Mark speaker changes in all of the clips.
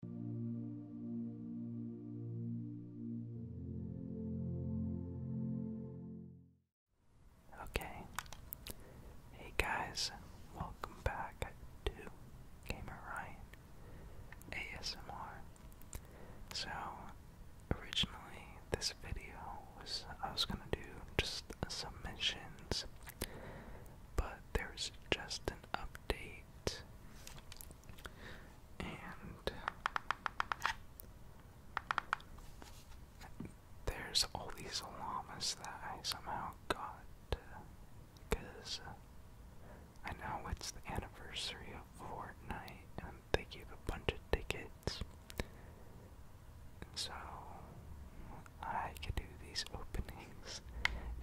Speaker 1: Okay. Hey guys, welcome back to Gamer Ryan ASMR. So, originally this video was I was gonna do just submissions, but there's just an update and there's all these llamas that I somehow got I know it's the anniversary of Fortnite and they gave a bunch of tickets. So I could do these openings.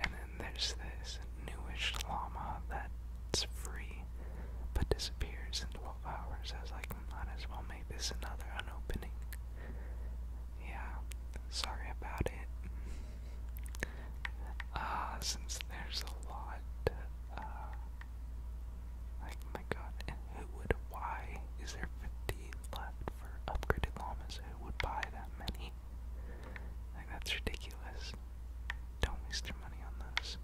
Speaker 1: And then there's this newish llama that's free but disappears in 12 hours. I was like, might as well make this another unopening. Yeah, sorry about it. Uh, since there's a lot, uh, like, my god, and who would, why is there 15 left for upgraded llamas? Who would buy that many? Like, that's ridiculous. Don't waste your money on those.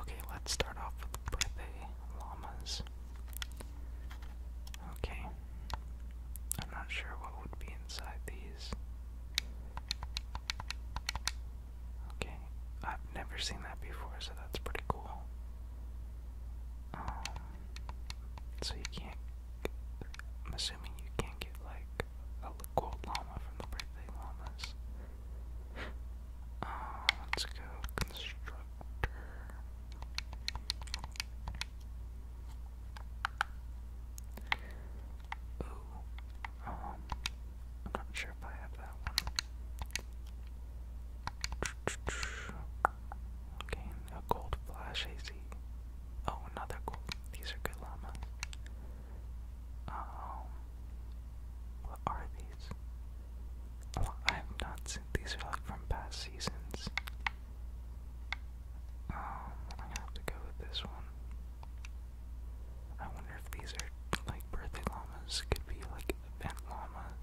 Speaker 1: Okay, let's start off with the birthday llamas. Okay. I'm not sure what would be inside these. Okay, I've never seen that before, so that's pretty cool. Um, so you can't I'm assuming you can't get like a gold llama from the birthday llamas. Uh, let's go constructor. Ooh, um, I'm not sure if I have that one. Okay, a gold flash AC. Oh, another cool. These are good llamas. Um, what are these? I have not seen these are like from past seasons. Um, i have to go with this one. I wonder if these are like birthday llamas. Could be like event llamas.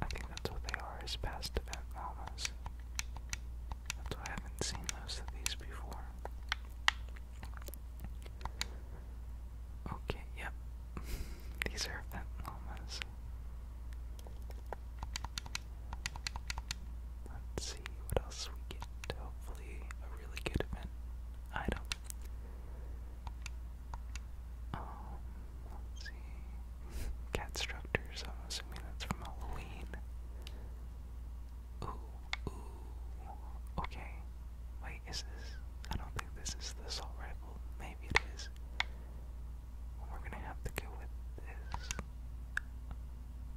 Speaker 1: I think that's what they are, is past event llamas. That's why I haven't seen most of these before. Okay, yep. these are event llamas. Let's see what else we get. Hopefully a really good event item. Um see. Cat structures, I'm assuming that's from Halloween. Ooh, ooh. Okay. Wait, is this? I don't think this is the assault rifle. Maybe it is. We're gonna have to go with this.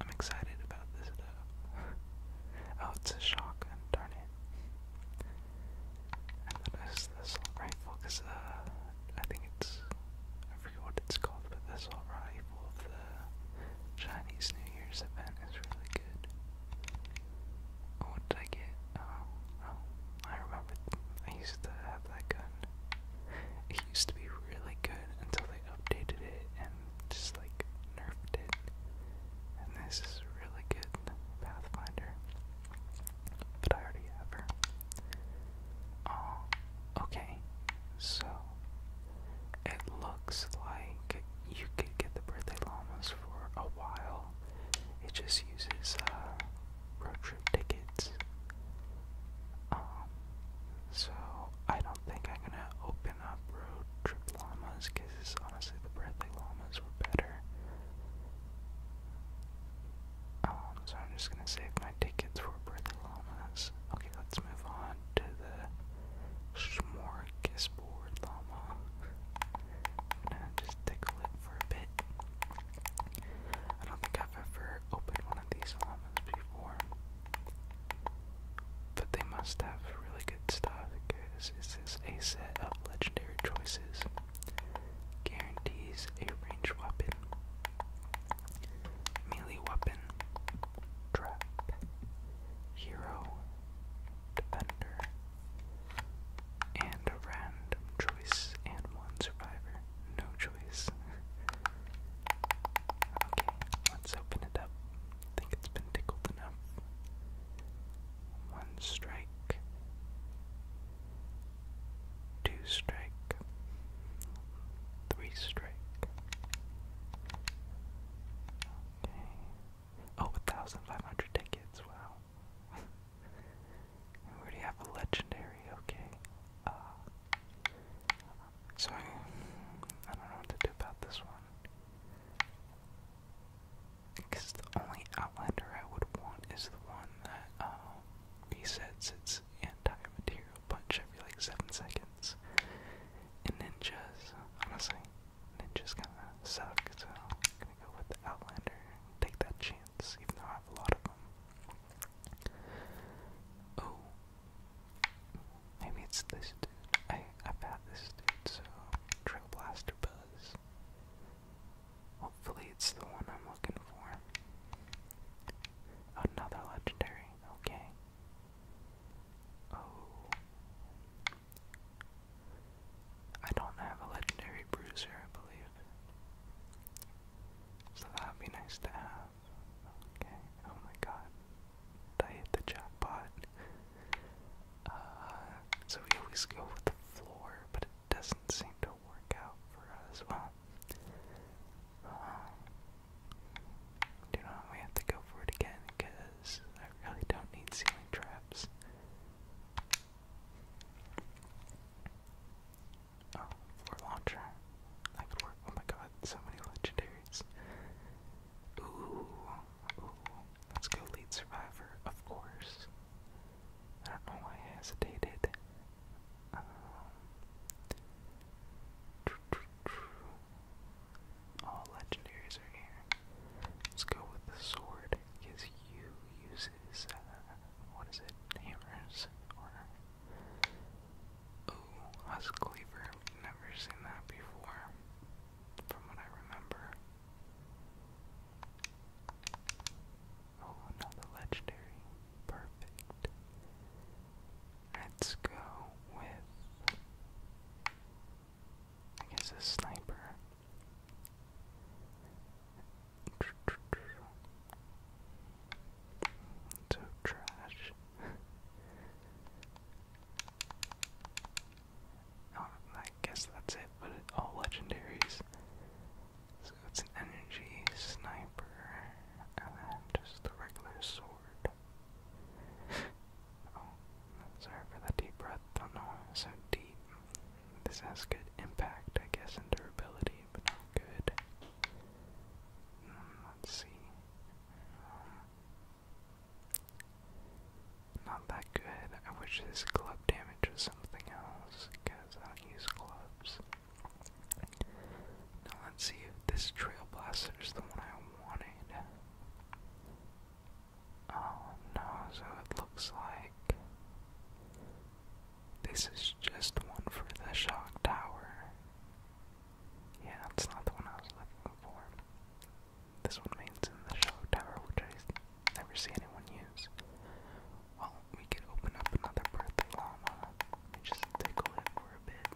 Speaker 1: I'm excited about this though. oh, it's a shotgun, darn it it's this assault because uh, I think it's I forget what it's called, but the assault rifle the Chinese New Year's event is really good. what did I get? Oh, oh, I remember. I used to have that gun. It used to be really good until they updated it and just like nerfed it. And this is really good Pathfinder. But I already have her. Oh, okay. So, it looks like you could get the birthday llamas for a while. It just uses uh, road trip tickets. Um, so I don't think I'm gonna open up road trip llamas because honestly the birthday llamas were better. Um, so I'm just gonna save my tickets for birthday Bertholomas. Okay, let's move on to the Smorgasbord Llama. i just tickle it for a bit. I don't think I've ever opened one of these llamas before. But they must have really good stuff because this is a set of legendary choices. Guarantees a ranged weapon. Melee weapon. Trap. Hero. Defender. And random choice and one survivor. No choice. okay, let's open it up. I think it's been tickled enough. One strike two strike, three strike. Okay. Oh, 1,500 tickets, wow. we already have a legendary, okay. Uh, I don't know what to do about this one. Because the only Outlander I would want is the one one that uh, um, resets its entire material punch every like seven seconds. And ninjas, honestly, ninjas kinda suck, so I'm gonna go with the Outlander and take that chance, even though I have a lot of them. Oh. Maybe it's this dude. I, I've had this dude, so Trail Blaster Buzz. Hopefully, it's the one I'm looking for. Another legendary, okay. Oh. I don't have a legendary bruiser, I believe. So that would be nice to have. Okay, oh my god. I hit the jackpot. Uh, so we always go with the floor, but doesn't seem to work out for us. Well, um, you know, we have to go for it again because I really don't need ceiling traps. Oh, for launcher. That could work. Oh my god, so many legendaries. ooh. Let's go lead survivor, of course. I don't know why I hesitated. Um, all legendaries are here. Let's go with the sword, because you uses, uh, what is it, hammers, or, ooh, husk cleaver, never seen that before, from what I remember. Oh, another legendary. Perfect. Let's go with. I guess a sniper. So trash. Oh, I guess that's it, but all legendaries. So it's an energy sniper, and then just the regular sword. Oh, sorry for the deep breath. do know it's so deep. This has good impact, I guess, and durability, but not good. Hmm, let's see not that good. I wish this club damage was something else, because I use clubs. Now let's see if this Trailblaster is the one I wanted. Oh no, so it looks like this is just one for the shock tower. Yeah, that's not the one I was looking for. This one means in the shock tower, which I never see anyone use. Well, we could open up another birthday llama and just tickle it for a bit.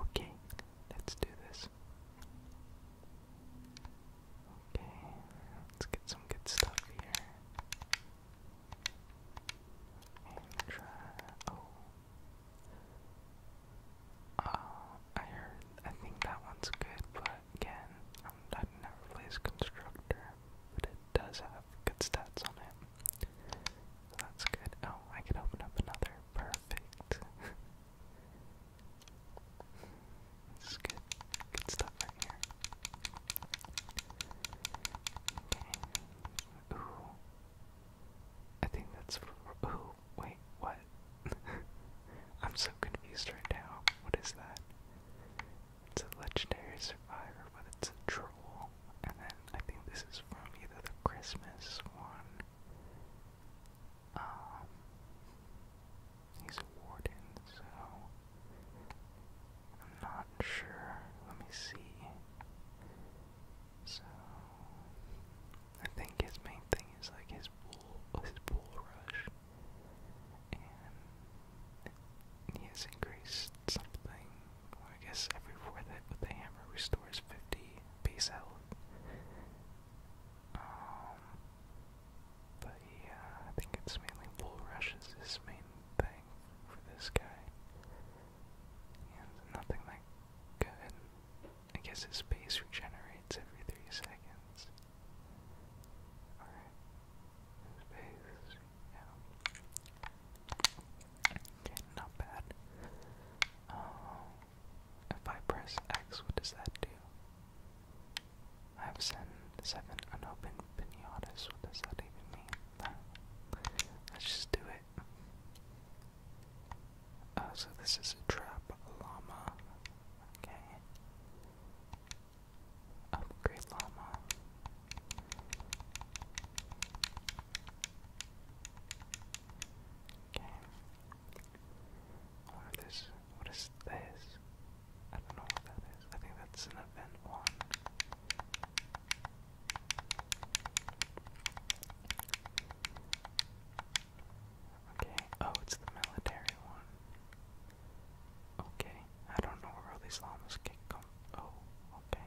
Speaker 1: Okay, let's do this. Okay, let's get some good stuff here. And try. Oh. Uh, I heard, I think that one's good, but again, I've um, never plays Constructor, but it does have good stats on it. So that's good. Oh, I could open up another. Perfect. this good. Good stuff right here. Okay. Ooh. I think that's. Ooh, Wait, what? I'm so confused right now. What is that? It's a legendary survivor, but it's a troll. And then I think this is from either the Christmas one. Um, he's a warden, so I'm not sure. Let me see. So I think his main thing is like his his his bull rush, and he has increased something. I guess every fourth hit with the hammer restores fifty base health. Um, but yeah, I think it's mainly bull rush is his main thing for this guy. And nothing that good. I guess his pace regenerates every three seconds. Alright. His yeah. Okay, not bad. Um, if I press X, what does that do? I have sent seven unopened pinatas. What does that even mean? Let's just do it. Oh, so this is a trap llama. Okay. Upgrade llama. Okay. What is What is this? I don't know what that is. I think that's an event one. Okay. Oh, it's the military one. Okay. I don't know where all these llamas can come. Oh, okay.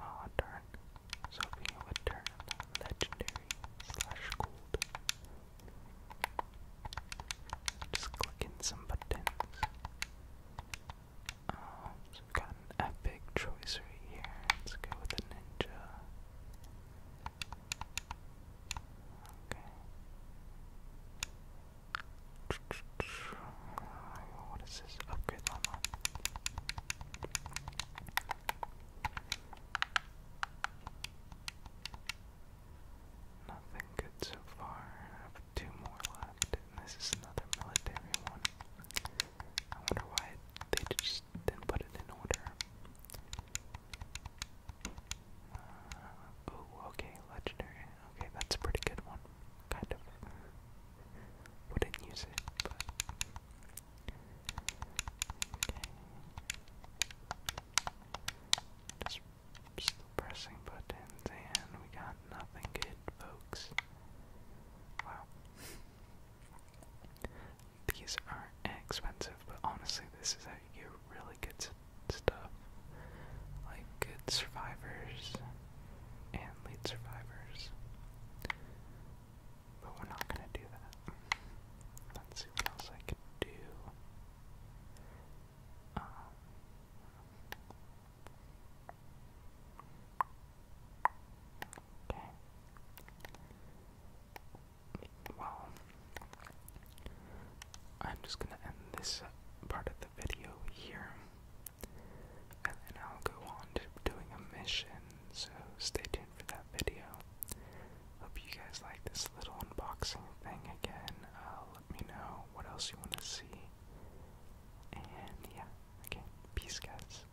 Speaker 1: Oh, darn. So we a turn legendary slash gold. Just clicking some buttons. Um, got an epic choice right here. Let's go with a ninja. Okay. What is this? Upgrade llama. Nothing good so far. I have two more left, and this is another military one. I wonder why they just just put it in order. oh, okay, legendary. Okay, that's a pretty good one. Kind of. Wouldn't use it, but. Okay. Just still pressing buttons, and we got nothing good, folks. Wow. These are expensive, but honestly, this is how you get really good stuff. Like good survivors and lead survivors. But we're not gonna do that. Let's see what else I can do. Um, okay well, I'm just gonna end this part of the video here, and then I'll go on to doing a mission. So stay tuned for that video. Hope you guys like this little unboxing thing again. Uh, let me know what else you want to see. And yeah, okay, peace, guys.